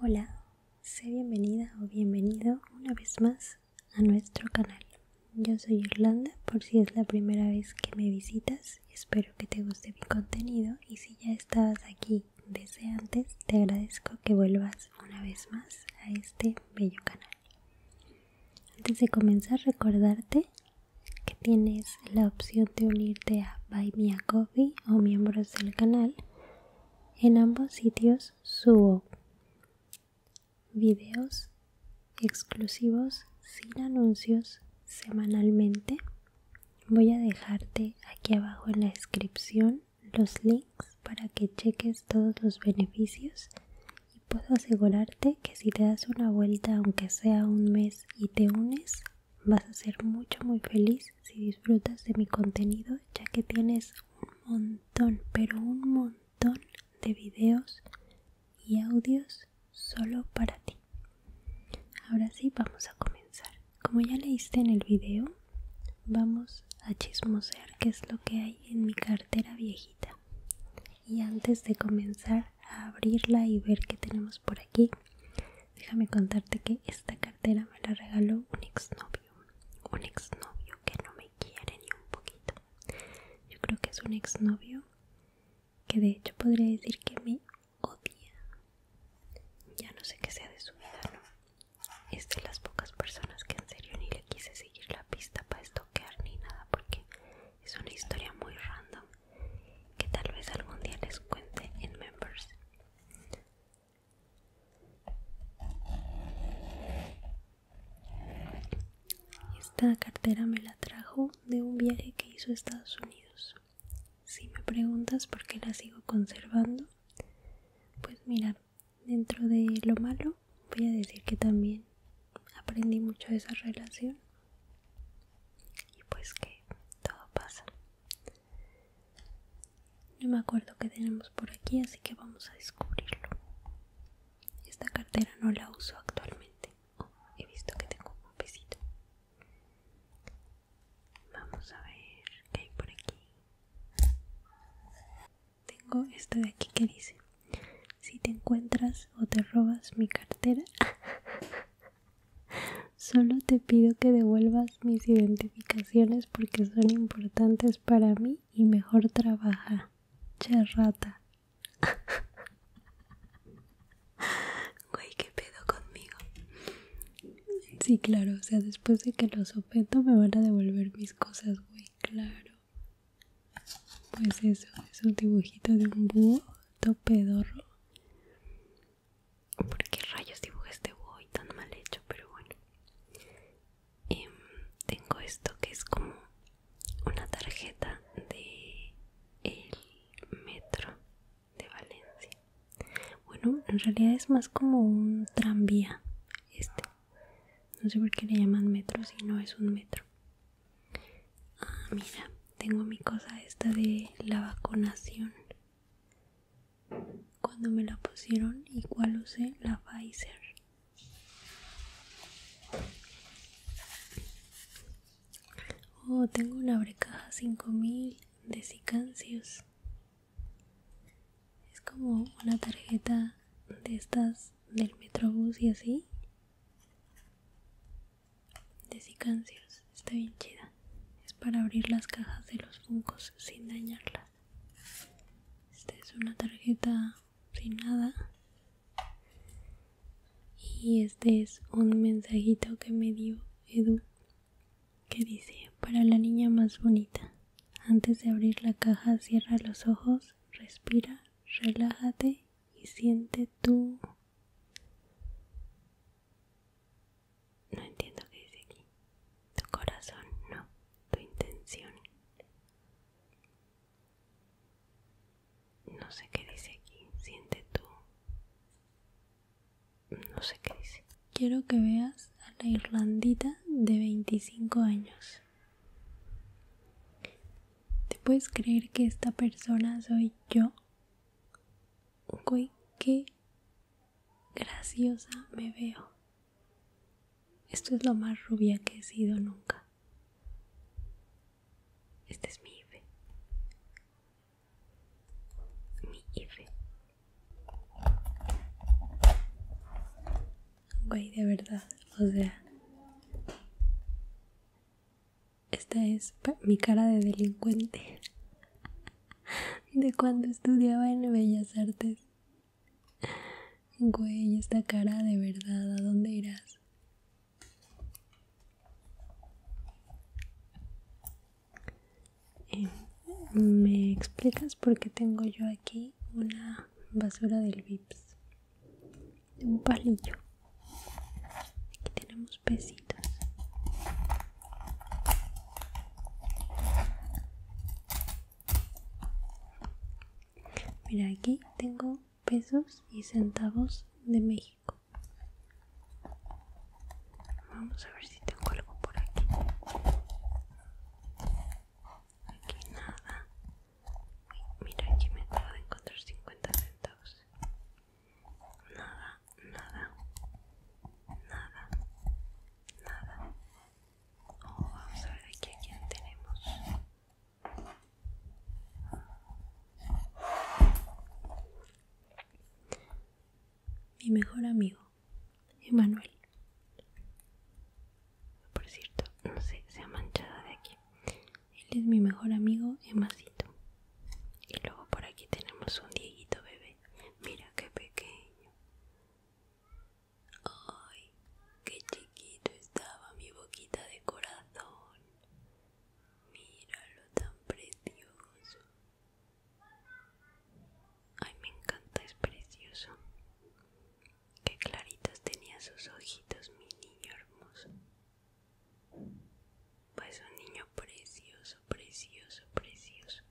Hola, sé bienvenida o bienvenido una vez más a nuestro canal. Yo soy Irlanda, por si es la primera vez que me visitas, espero que te guste mi contenido y si ya estabas aquí desde antes, te agradezco que vuelvas una vez más a este bello canal. Antes de comenzar, recordarte que tienes la opción de unirte a buymeacoffee o miembros del canal. En ambos sitios subo videos exclusivos sin anuncios semanalmente. Voy a dejarte aquí abajo en la descripción los links para que cheques todos los beneficios y puedo asegurarte que si te das una vuelta aunque sea un mes y te unes, vas a ser mucho muy feliz si disfrutas de mi contenido ya que tienes un montón, pero un montón de videos y audios solo para ti. Ahora sí, vamos a comenzar. Como ya leíste en el video, vamos a chismosear qué es lo que hay en mi cartera viejita. Y antes de comenzar, abrirla y ver qué tenemos por aquí. Déjame contarte que esta cartera me la regaló un exnovio, un exnovio que no me quiere ni un poquito. Yo creo que es un exnovio que de hecho podría decir que me odia. Ya no sé qué sea de su vida, ¿no? Es de las pocas personas que en serio ni le quise seguir la pista para estoquear ni nada porque es una historia muy random que tal vez algún día les cuente en Members. Esta cartera me la trajo de un viaje que hizo a Estados Unidos. Si me preguntas por qué la sigo conservando, pues mira, dentro de lo malo voy a decir que también aprendí mucho de esa relación y pues que todo pasa. No me acuerdo que tenemos por aquí, así que vamos a descubrirlo. Esta cartera no la uso actualmente. he visto que tengo un pesito. Vamos a ver qué hay por aquí tengo esto de aquí que dice si te encuentras o te robas mi cartera solo te pido que devuelvas mis identificaciones porque son importantes para mí y mejor trabaja charrata rata güey qué pedo conmigo sí claro o sea después de que lo sopeto me van a devolver mis cosas güey claro pues eso, es un dibujito de un búho topedorro. ¿Por qué rayos dibujo este búho tan mal hecho? Pero bueno. Em, tengo esto que es como una tarjeta de el metro de Valencia. Bueno, en realidad es más como un tranvía este. No sé por qué le llaman metro si no es un metro. Ah, mira, tengo mi cosa esta de la vacunación. Cuando me la pusieron, y igual usé la Pfizer. Oh, tengo una brecaja 5000 de Sicancios. Es como una tarjeta de estas del metrobús y así de Sicancios, está bien chida es para abrir las cajas de los funcos sin dañarlas esta es una tarjeta sin nada y este es un mensajito que me dio Edu que dice para la niña más bonita antes de abrir la caja cierra los ojos Respira, relájate y siente tu... No entiendo qué dice aquí. Tu corazón, no, tu intención. No sé qué dice aquí. Siente tú. No sé qué dice. Quiero que veas a la Irlandita de 25 años. ¿Te puedes creer que esta persona soy yo? qué graciosa me veo. Esto es lo más rubia que he sido nunca. Este es mi IFE. Mi IFE. Güey, de verdad, o sea. Esta es mi cara de delincuente. De cuando estudiaba en Bellas Artes. Güey, esta cara de verdad, ¿a dónde irás? Eh, ¿Me explicas por qué tengo yo aquí una basura del Vips un palillo aquí tenemos pesitos mira aquí tengo pesos y centavos de México vamos a ver si tengo algo por aquí aquí nada. Mira, aquí me acabo de encontrar 50 centavos. Nada, nada, nada, nada. Oh, vamos a ver aquí a quién tenemos. Mi mejor amigo. Emanuel. Por cierto, no sé, se ha manchado de aquí. Él es mi mejor amigo, Emasito. Y luego por aquí tenemos un Dieguito bebé. Mira qué pequeño. Ay, qué chiquito estaba mi boquita de corazón. Míralo tan precioso. Ay, me encanta, es precioso. Qué claritos tenía sus ojitos, mi niño hermoso. Pues un niño precioso, precioso, precioso.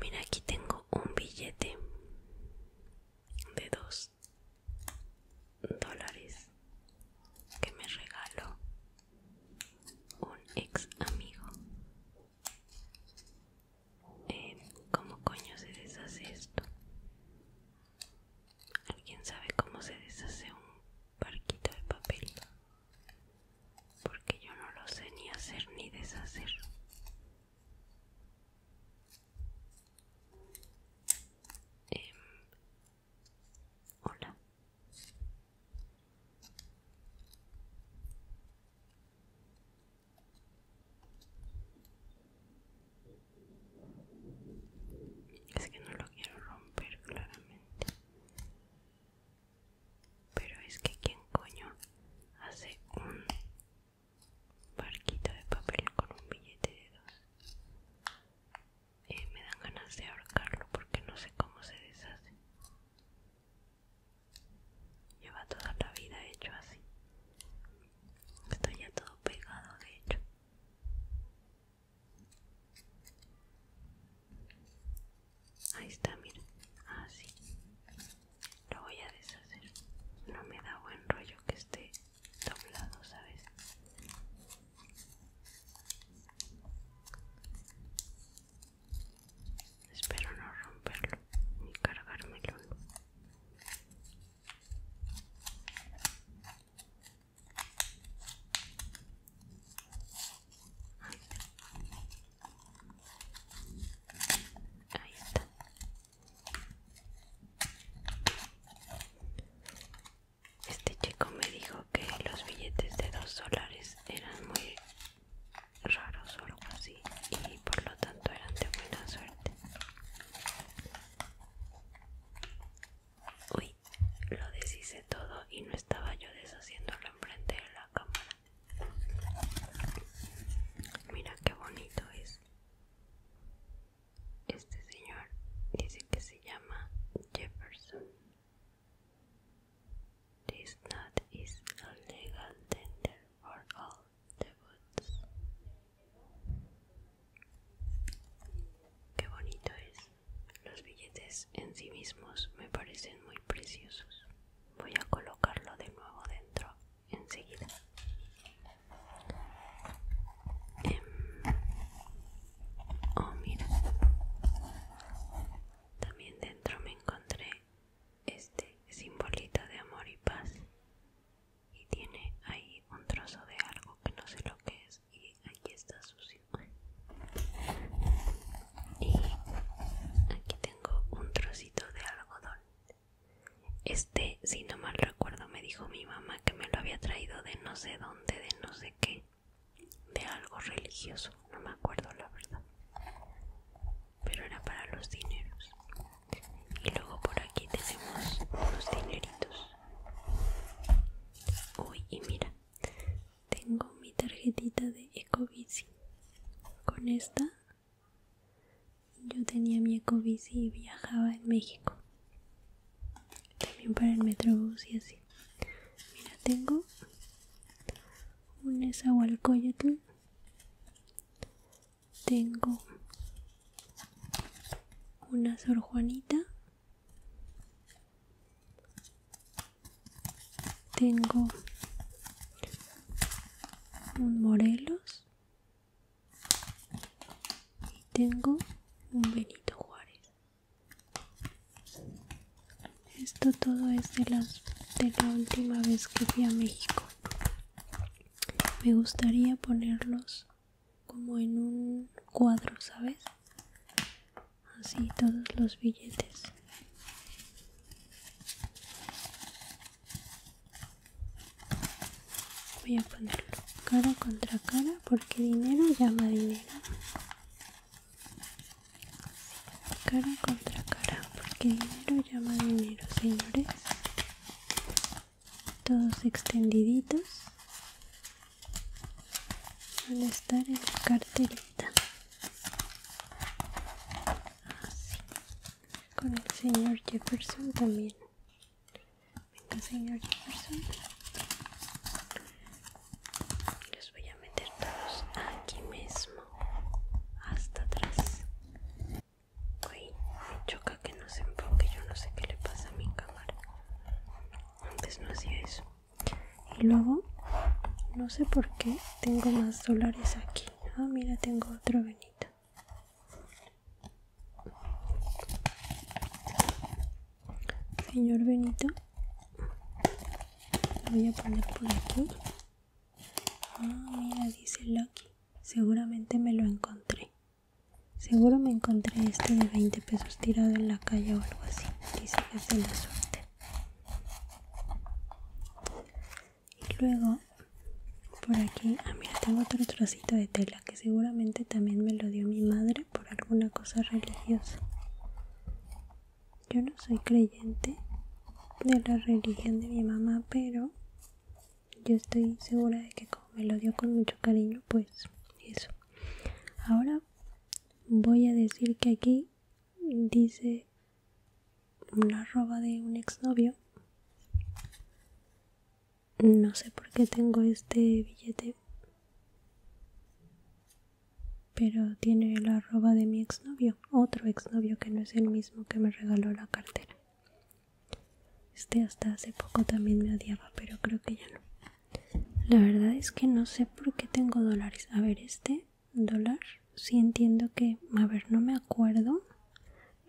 Mira, aquí tengo un billete de dos dólares que me regaló un ex amigo eh, ¿Cómo coño se deshace esto? ¿Alguien sabe cómo se deshace un parquito de papel? Porque yo no lo sé ni hacer ni deshacer. Em, hola. Es que no lo quiero romper claramente. Pero es que quién coño hace un barquito de papel con un billete de dos. Eh, me dan ganas de ahorcarlo porque no sé cómo se deshace. Lleva toda la vida hecho así. Está ya todo pegado, de hecho. Ahí está, mira. Así. Ah, Lo voy a deshacer. No me da buen rollo que esté doblado, ¿sabes? Espero no romperlo ni cargármelo. Ahí está. Este chico me dijo que los billetes de dos dólares eran muy raro, solo así y por lo tanto eran de buena suerte uy lo deshice todo y no estaba yo deshaciéndolo enfrente de la cámara mira qué bonito es este señor dice que se llama Jefferson This nut is a legal tender for all the Qué bonito es. Los billetes en sí mismos me parecen muy preciosos. Voy a colocarlo de nuevo dentro enseguida. Em, oh, mira. También dentro me encontré este simbolito de amor y paz. Y tiene ahí un trozo de algo que no sé lo que es. Y aquí está sucio. Y aquí tengo un trocito de algodón. Este, si no mal recuerdo, me dijo mi mamá que me lo había traído de no sé dónde, de no sé qué de algo religioso, no me acuerdo la verdad, pero era para los dineros. Y luego por aquí tenemos unos dineritos. Uy, y mira, tengo mi tarjetita de Ecobici. Con esta yo tenía mi Ecobici y viajaba en México también para el metrobús y así mira tengo un esahualcoyotl tengo una sor juanita tengo un morelos y tengo un benito juárez esto todo es de, las, de la última vez que fui a México. Me gustaría ponerlos como en un cuadro, ¿sabes? Así todos los billetes. Voy a ponerlo cara contra cara porque dinero llama dinero. Cara contra cara, porque dinero llama dinero, señores. Todos extendiditos van a estar en la carterita. Así. Ah, Con el señor Jefferson también. Venga, señor voy a meter todos aquí mismo, hasta atrás. Uy, me choca que no se enfoque, yo no sé qué le pasa a mi cámara. Antes no hacía eso. Y luego, no sé por qué, tengo más dólares aquí. Ah, mira, tengo otro venito señor Benito lo voy a poner por aquí ah mira dice Lucky seguramente me lo encontré seguro me encontré este de 20 pesos tirado en la calle o algo así dice que es la suerte y luego por aquí ah mira tengo otro trocito de tela que seguramente también me lo dio mi madre por alguna cosa religiosa. Yo no soy creyente de la religión de mi mamá, pero yo estoy segura de que como me lo dio con mucho cariño, pues eso. Ahora voy a decir que aquí dice una roba de un exnovio no sé por qué tengo este billete. Pero tiene el arroba de mi exnovio, otro exnovio que no es el mismo que me regaló la cartera. Este hasta hace poco también me odiaba, pero creo que ya no. La verdad es que no sé por qué tengo dólares. A ver, este dólar, Si entiendo que, a ver, no me acuerdo,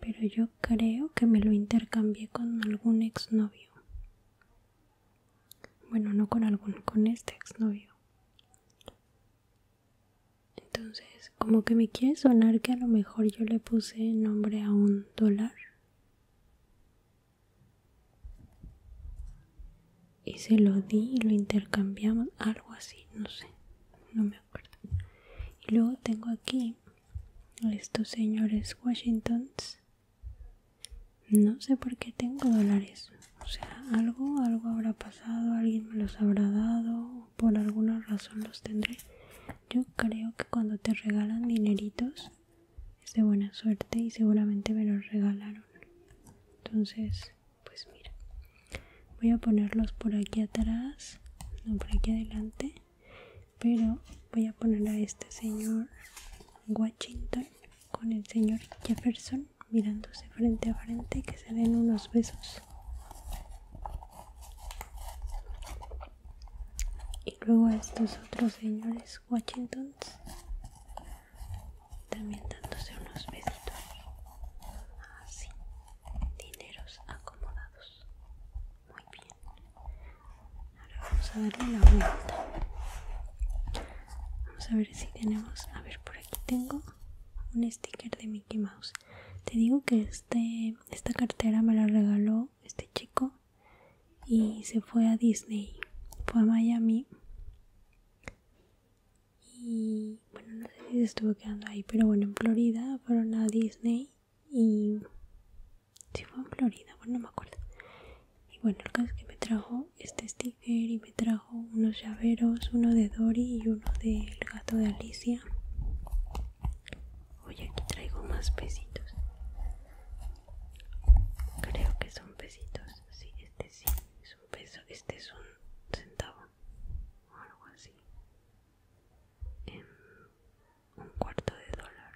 pero yo creo que me lo intercambié con algún exnovio. Bueno, no con algún, con este exnovio. Entonces, como que me quiere sonar que a lo mejor yo le puse nombre a un dólar. Y se lo di y lo intercambiamos, algo así, no sé, no me acuerdo. Y luego tengo aquí estos señores Washingtons no sé por qué tengo dólares. O sea, algo, algo habrá pasado, alguien me los habrá dado, por alguna razón los tendré. Yo creo que cuando te regalan dineritos es de buena suerte y seguramente me los regalaron. Entonces, pues mira, voy a ponerlos por aquí atrás, no por aquí adelante pero voy a poner a este señor Washington con el señor Jefferson mirándose frente a frente que se den unos besos y luego a estos otros señores Washingtons también dándose unos besitos así ah, dineros acomodados muy bien. Ahora vamos a darle la vuelta. Vamos a ver si tenemos... A ver, por aquí tengo un sticker de Mickey Mouse. Te digo que este, esta cartera me la regaló este chico y se fue a Disney. Fue a Miami. Y bueno, no sé si se estuvo quedando ahí, pero bueno, en Florida fueron a Disney y si fue en Florida, bueno no me acuerdo y bueno el caso es que me trajo este sticker y me trajo unos llaveros, uno de Dory y uno del gato de Alicia hoy aquí traigo más pesitos creo que son pesitos sí, este sí es un peso, este es un centavo o algo así em, un cuarto de dólar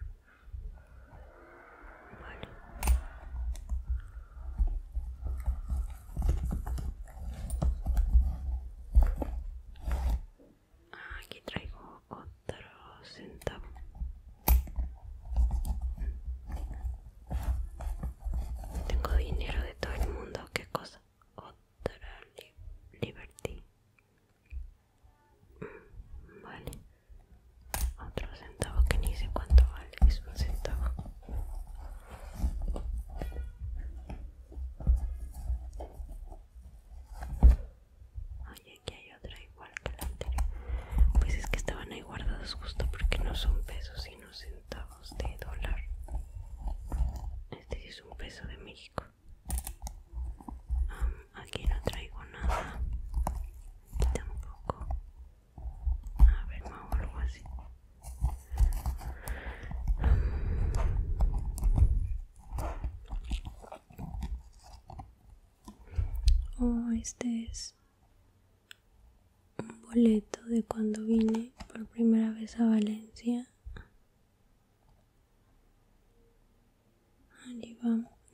ah, aquí traigo otro centavo tengo dinero de todo el mundo qué cosa otra liberty Vale. Otro centavo que ni sé cuánto vale. Es un centavo. Oye, aquí hay otra igual que la anterior. Pues es que estaban ahí guardados justo porque no son pesos sino centavos de dólar. Este sí es un peso de México. Um, aquí no traigo nada. Tampoco. A ver, me hago algo así. Um. Oh, este es un boleto de cuando vine por primera vez a Valencia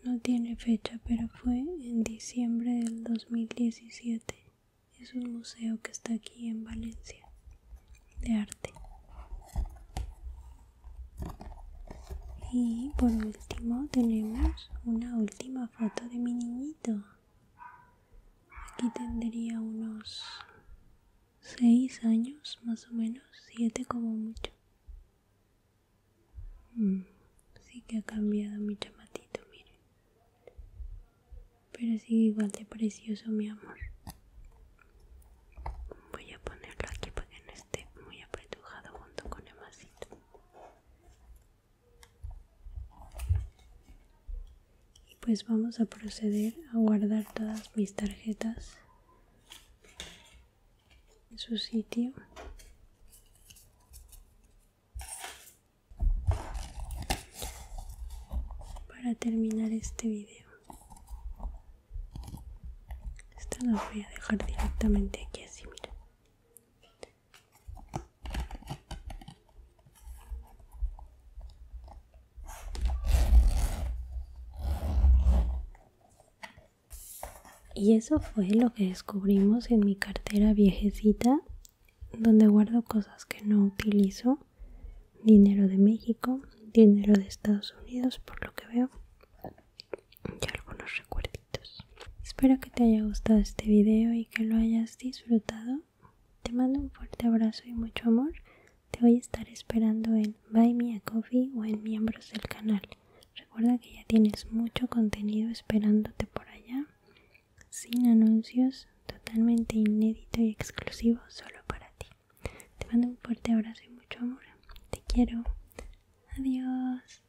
no tiene fecha, pero fue en diciembre del 2017. Es un museo que está aquí en Valencia, de arte. Y por último tenemos una última foto de mi niñito. Aquí tendría unos 6 años más o menos, 7 como mucho. Mm, sí que ha cambiado mi chamatito, miren. Pero sigue igual de precioso, mi amor. Voy a ponerlo aquí para que no esté muy apretujado junto con el masito y pues vamos a proceder a guardar todas mis tarjetas en su sitio para terminar este vídeo esto lo voy a dejar directamente aquí así mira y eso fue lo que descubrimos en mi cartera viejecita, donde guardo cosas que no utilizo, dinero de México, dinero de Estados Unidos, por lo que veo, y algunos recuerditos. Espero que te haya gustado este video y que lo hayas disfrutado. Te mando un fuerte abrazo y mucho amor. Te voy a estar esperando en Buy Me a Coffee o en miembros del canal. Recuerda que ya tienes mucho contenido esperándote por allá, sin anuncios, totalmente inédito y exclusivo solo para ti. Te mando un fuerte abrazo y mucho amor. Te quiero. Adiós.